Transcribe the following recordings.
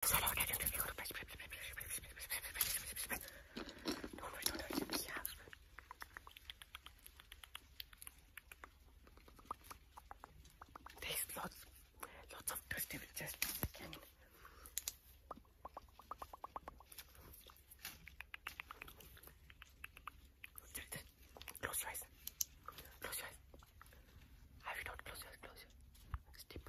close your eyes. Close your eyes. Have you not close your eyes? Close your eyes. Step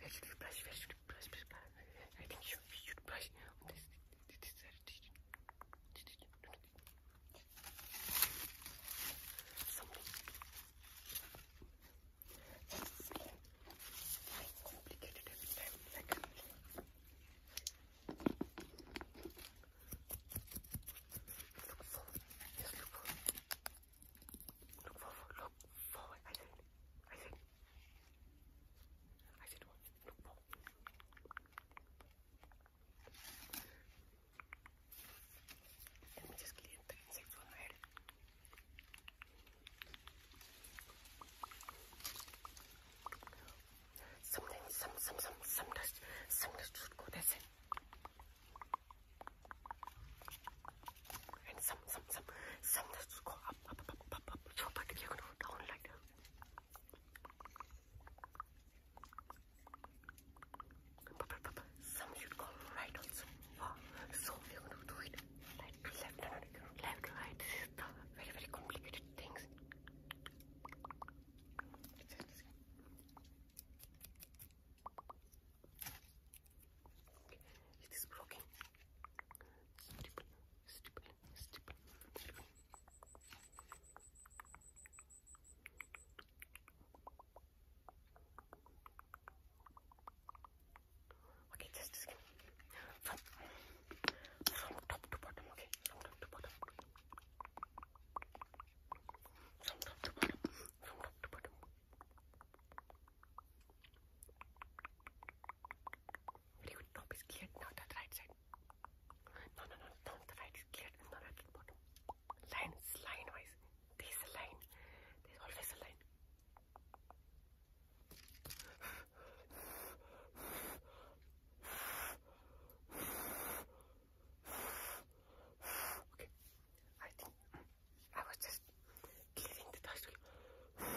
Where should we brush? Where should we brush? I think should, we should brush on this, this side. Something. Like complicated every time. Like, Look for, just look for. Look forward, look forward. I said, I said, I said, look forward. Let me just clear on my head. Something, some, some, some, some dust, some dust and some some some some just go up up up up up up so but you're gonna go down like that some should go right also wow. so we're gonna do it right to left and left to right this is the very very complicated things it is broken. Stupid, stupid, stupid. Okay, just a second. From, from top to bottom, okay? From top to bottom. From top to bottom. From top to bottom. Your top is clear, now that right side. No, no, no, no, the right is clear, it's not at the bottom. Line, line wise. There's a line. There's always a line. Okay, I think I was just cleaning the dust. Perfect.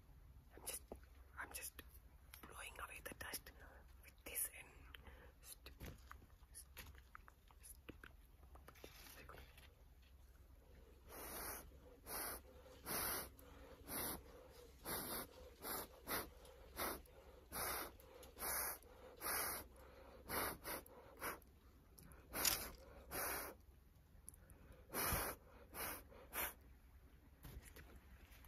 I'm just, I'm just blowing away the dust with this end.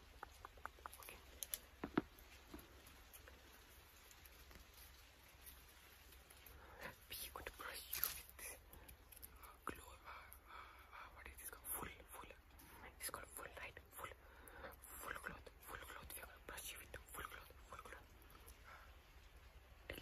We going to brush you with this glow. Uh, uh, uh, what is this called? Full, full. It's called full light, full, full cloth, full cloth. We are going to brush you with full cloth, full cloth. Uh,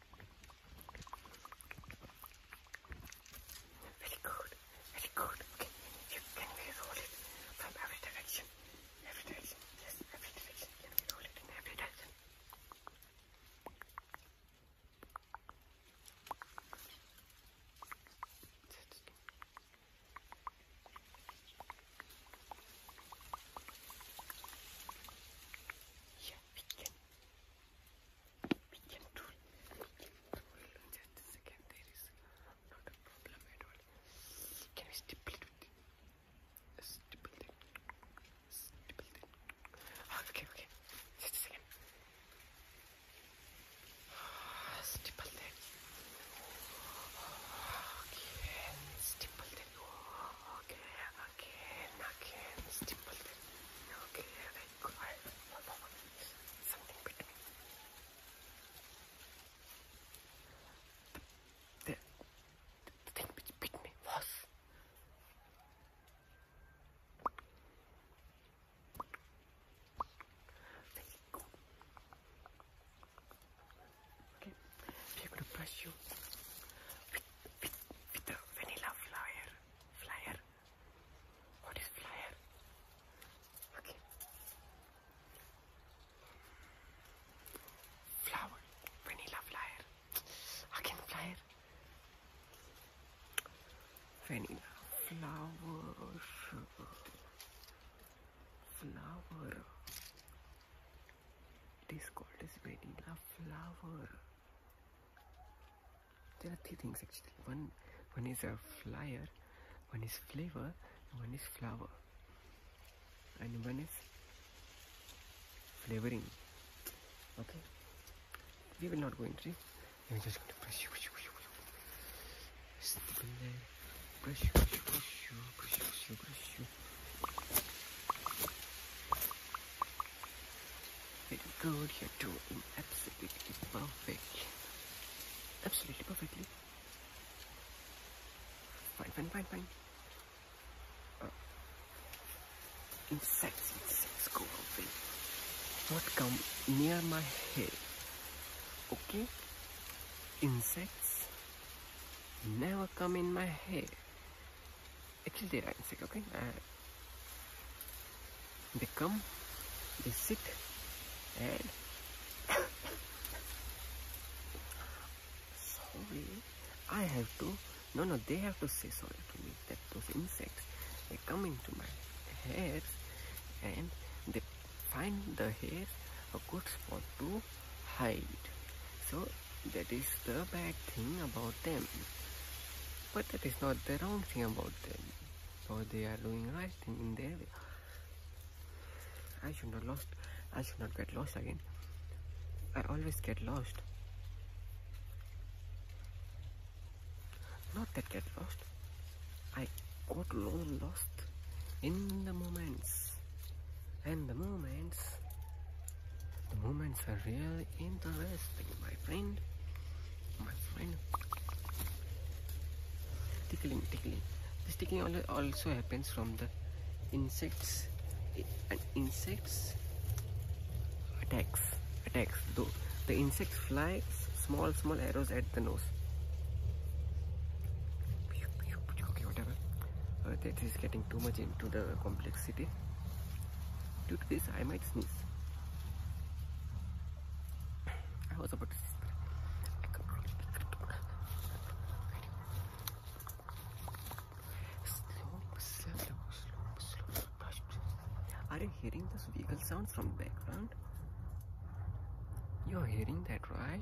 Very good, very good. Okay, you can we it from every direction? Every direction, yes, every direction. Can we it every direction? Just we can do it. We can do it. Just a second, there is not a problem at all. Can we stipple it? Stipple it. Stipple it. Okay, okay. Just a second. Stipple that. Okay, stipple that. Okay, again, again, stipple that. Look here, I got something between. The, the, the thing which bit me was. There you go. Okay, we're going to brush you with, with, with the vanilla flower. Flyer. What is flyer? Okay. Flower. Vanilla flyer. Again flyer. Vanilla flower. Flower. It is called as vanilla flower. There are three things actually. One, one is a flyer, one is flavor, one is flower, and one is flavoring. Okay, we will not go into it. I'm just going to brush, brush, brush, brush, brush, brush, brush, brush, brush, brush, brush. You good, you are doing absolutely perfect. Absolutely perfectly. Fine, fine, fine, fine. insects, uh, insects go away. What come near my head. Okay? Insects never come in my hair actually they are insect okay uh, they come they sit and sorry I have to no no they have to say sorry to me that those insects they come into my hair and they find the hair a good spot to hide so that is the bad thing about them. But that is not the wrong thing about them. So they are doing right thing in their way. I should not lost. I should not get lost again. I always get lost. Not that get lost. I got lost in the moments and the movements the movements are really interesting my friend my friend tickling tickling this tickling also happens from the insects and insects attacks attacks though the insects fly small small arrows at the nose okay whatever uh, that is getting too much into the complex city. Due to this, I might sneeze. I was about to sneeze. Are you hearing those vehicle sounds from background? You're hearing that, right?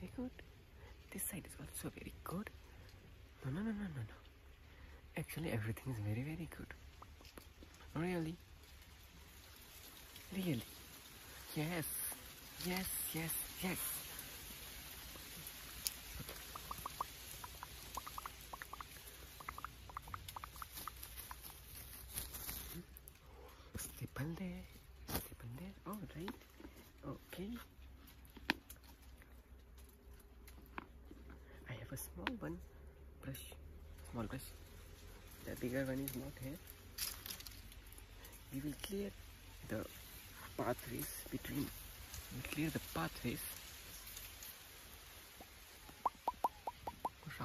Very good. This side is also very good. No, no, no, no, no, no. Actually, everything is very, very good. Really? Really? Yes. Yes, yes, yes staple there staple there all right okay i have a small one brush small brush the bigger one is not here we will clear the pathways between clear the pathways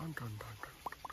round round round round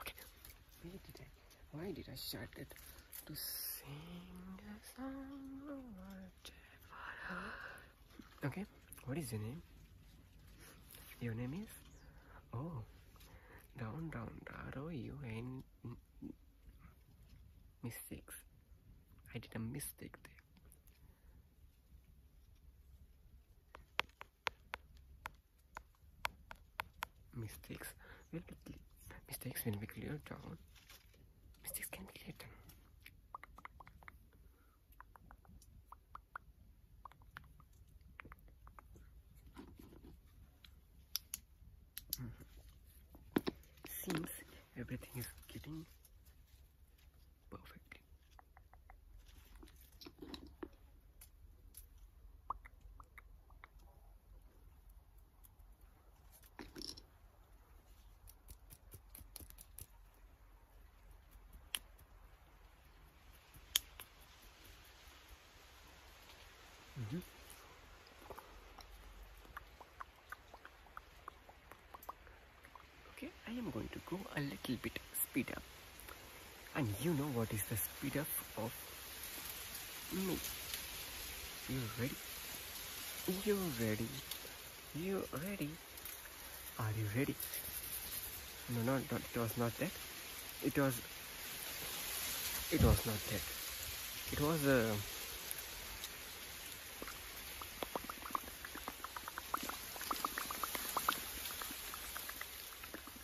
Okay, Why did I why did I started to sing a song Okay, what is your name? Your name is Oh Down down you R O U N mistakes. I did a mistake there mistakes will be mistakes will be cleared down mistakes can be cleared down mm-hmm. seems everything is getting perfectly Okay, I am going to go a little bit speed up and you know what is the speed up of me. You ready? You ready? You ready? Are you ready? No, no, it was not that. It was... It was not that. It was uh,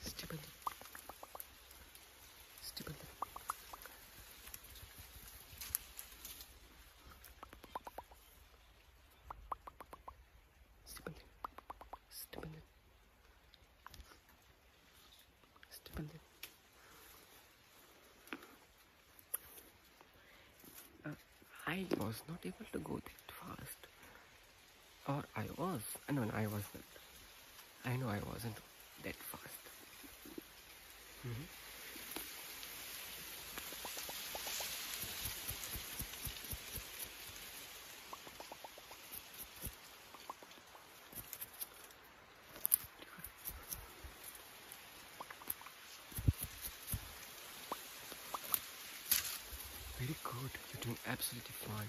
Stupid. Stupid. Stupid. Stupid. Stupid. Uh, I was not able to go that fast. Or I was. and uh, no I wasn't. I know I wasn't that fast. Mm-hmm. Very good. You're doing absolutely fine.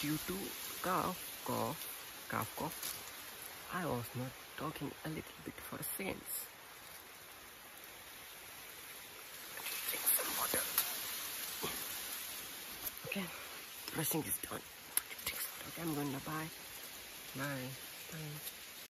Due to cough, cough, cough, cough, I was not talking a little bit for a second. Drink some water. Okay, dressing is done. I'm going to buy my